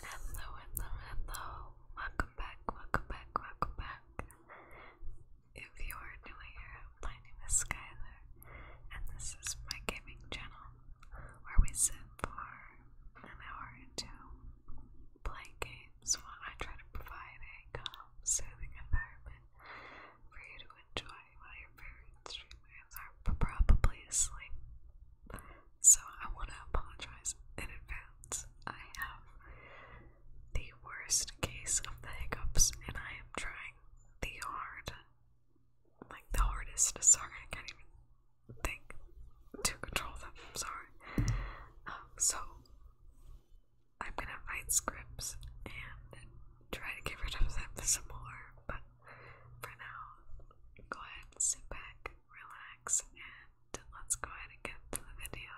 Hello, hello, hello. Welcome back, welcome back, welcome back. If you are new here, my name is Skylar, and this is my gaming channel where we sit for an hour or two, play games while I try to provide a calm, soothing environment for you to enjoy while your favorite are probably asleep. So I want to apologize in advance. I have the worst case of the hiccups, and I am trying the hard, like the hardest. Sorry, I can't even think to control them. Sorry. Um, so I'm gonna write scripts and try to get rid of them some more. But for now, go ahead, and sit back, relax, and let's go ahead and get to the video.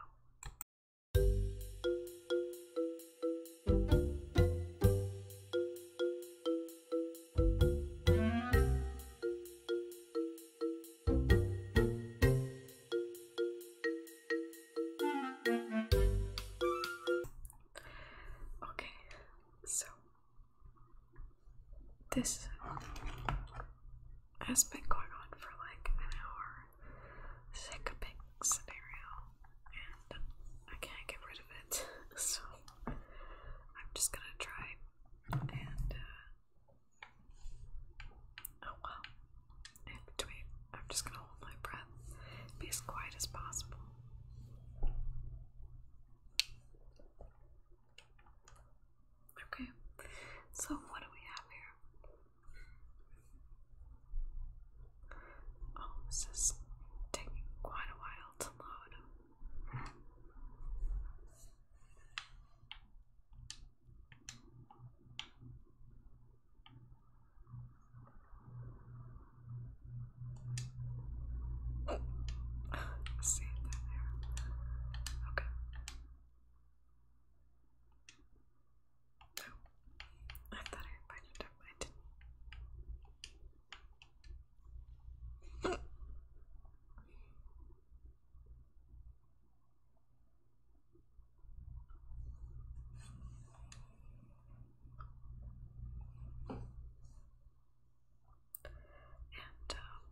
Okay, so this has been going on for like an hour sick pig scenario, and I can't get rid of it, so I'm just gonna try and. Uh, oh well. In between, I'm just gonna hold my breath, be as quiet as possible. Okay, so what do we have here? Oh, this is taking quite a while to load. see that there. Okay. I thought I invited him, I did And um,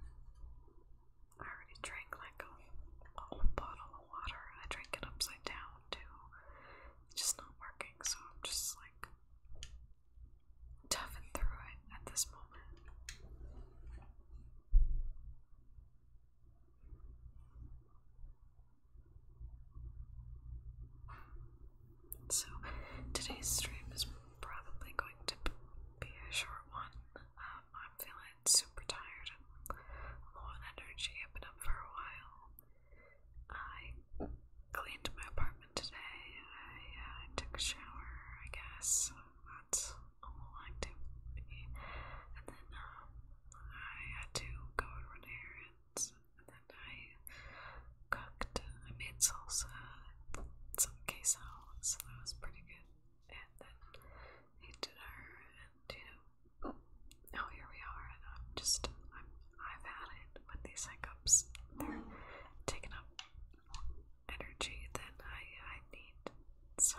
I already drank like a whole bottle of water. I drank it upside down too just not working, so I'm just like toughing through it at this moment. So, today's stream is probably going to be a short one. Um, I'm feeling super tired and I've been up for a while. I cleaned my apartment today. I uh, took a shower, I guess. That's all activity. And then um, I had to go and run errands. And then I cooked. I made salsa some queso, that was pretty good. And then ate dinner and, you know, Oh, here we are, just, I'm, I've had it with these hiccups. They're taking up energy than I, I need, so.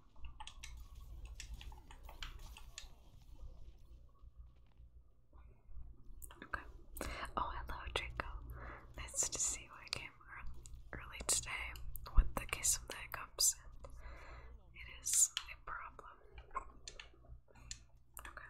Okay. Oh, hello, Draco. Nice to see you. I came early today with the case of the hiccups, it is a problem. Okay.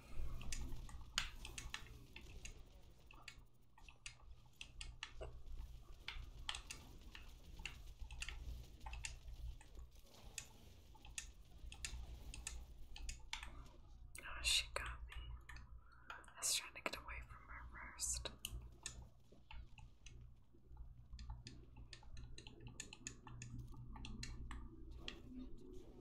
Oh, she got me. I was trying to get away from her first.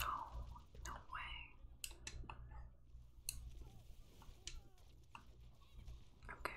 No, no way. Okay.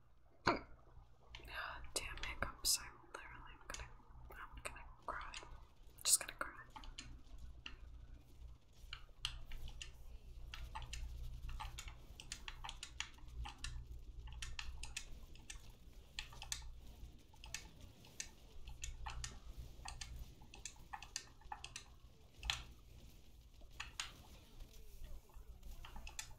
damn hiccups, I'm literally I'm gonna I'm gonna cry. I'm just gonna cry.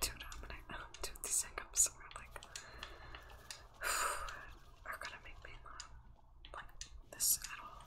Dude, I'm gonna um, dude, these hiccups are like are gonna make me not like this at all.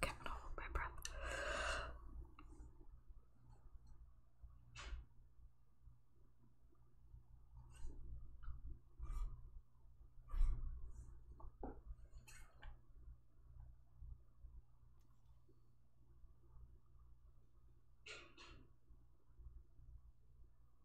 Okay, I'm gonna hold my breath.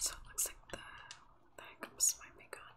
So it looks like the that comes my makeup.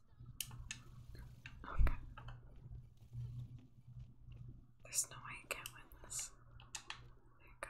Okay. There's no way you can't win this. There you go.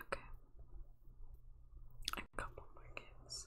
Okay. A couple more kids.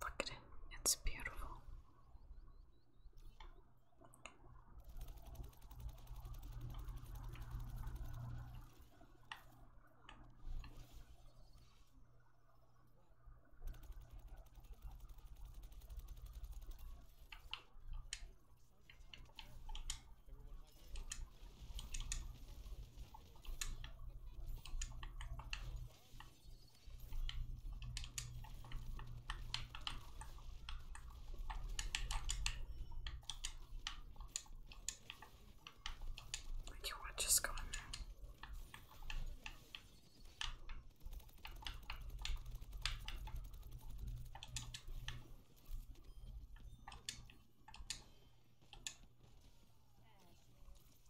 Look at it, it's beautiful. Like your watch is gone.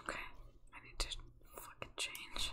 Okay, I need to fucking change.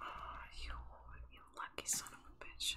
Oh, you, you lucky son of a bitch.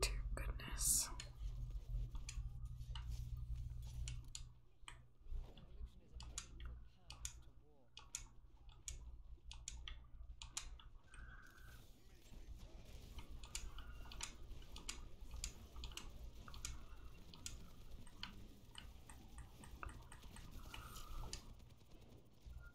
Dear goodness.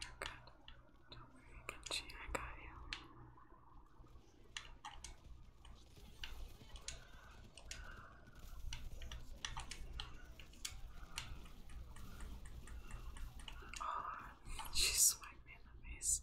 You're good. Don't worry, Genji, I got you. Oh, she swiped the face.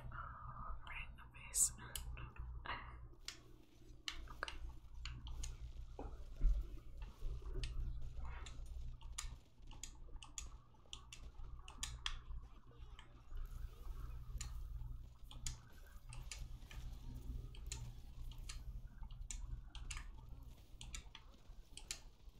Oh, right in the face. okay.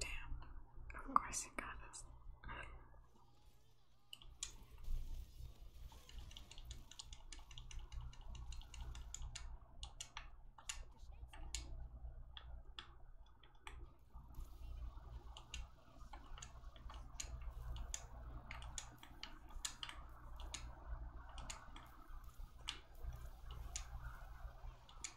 Damn, of course you got us.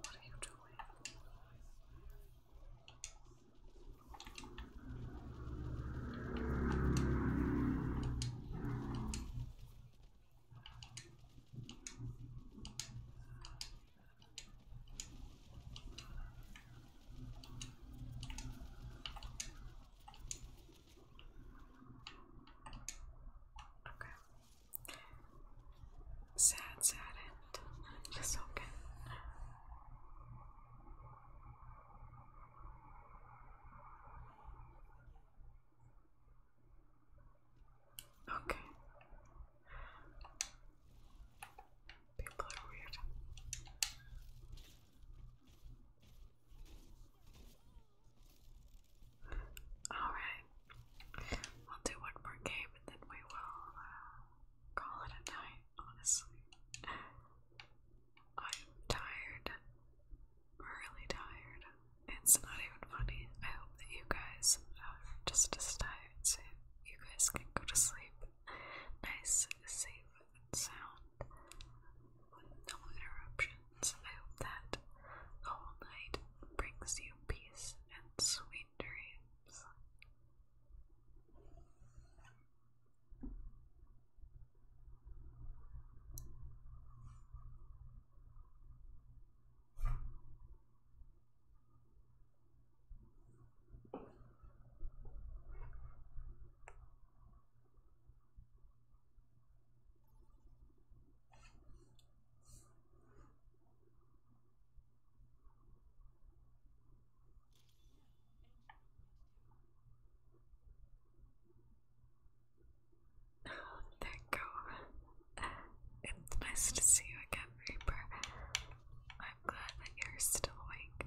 What are you doing? Okay. Sad, sad end. It's okay. Okay. People are weird. Alright. We'll do one more game and then we will uh, call it a night, honestly. I'm tired. Really tired. It's not even funny. I hope that you guys are just as tired so you guys can go to sleep nice, safe, and sound no interruptions. I hope that the whole night brings you peace and sweet dreams. Oh, thank you. It's nice to see you again, Reaper. I'm glad that you're still awake.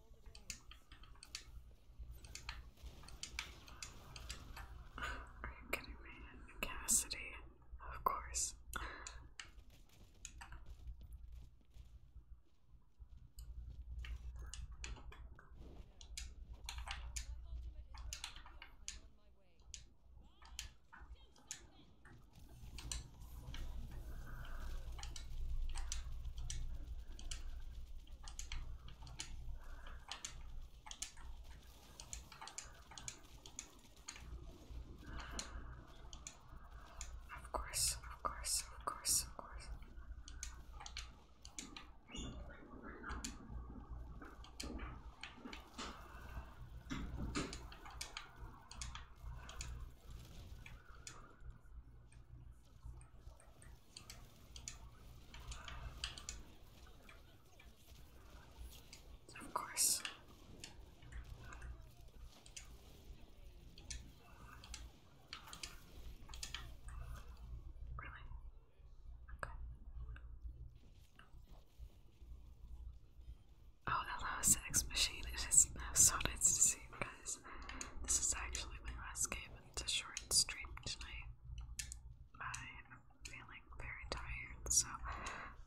Are you kidding me? Cassidy, of course. Of course, of course, of course, of course. Of course. Really? Okay. Oh, that last X machine. It is uh, so nice to see you guys. This is actually my last game. It's a short stream tonight. I am feeling very tired, so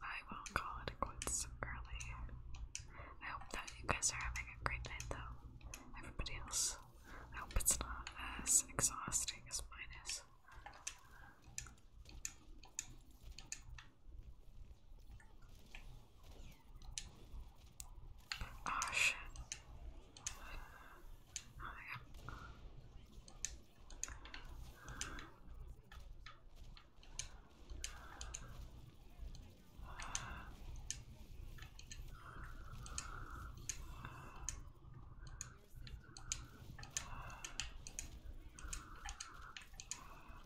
I will call it quits early. I hope that you guys are having a great night, though. Everybody else. I hope it's not as exhausting as mine is. Oh shit. Oh my god.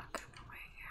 I'll come away here. Okay.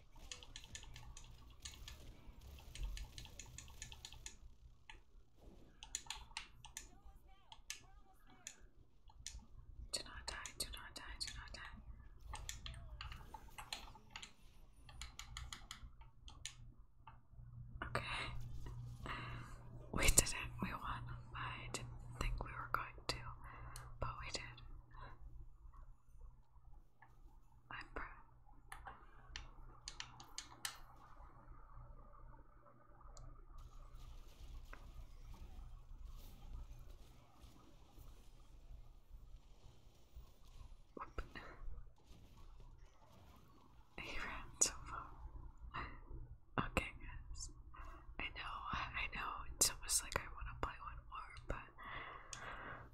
Do not die, do not die, do not die. Okay. We did it. We won. I didn't think we were going to, but we did. I'm proud. he ran so far. okay, guys. I know, I know. It's almost like I want to play one more, but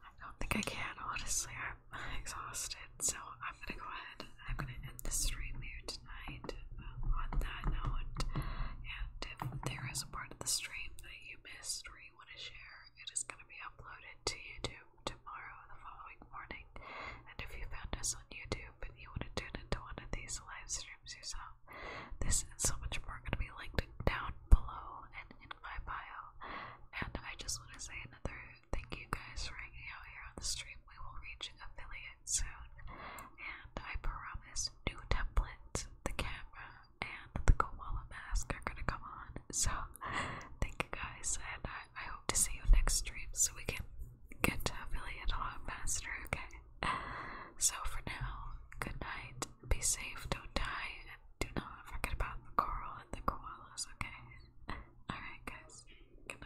I don't think I can, honestly. I'm exhausted, so I'm gonna go ahead and I'm gonna end the stream here tonight um, on that note. And if there is a part of the stream that you missed or you want to share, it is gonna be uploaded to YouTube tomorrow, the following morning. And if you found us on YouTube and you want to tune into one of these live streams yourself, this and so much more gonna be linked down below in my bio. And I just want to say another thank you guys for hanging out here on the stream. We will reach affiliate soon. And I promise new templates, the camera, and the koala mask are gonna come on. So thank you guys and I, hope to see you next stream so we can get to affiliate a lot faster, okay? So for now, good night, be safe, don't die, do not forget about the coral and the koalas, okay? Alright, guys. Good night.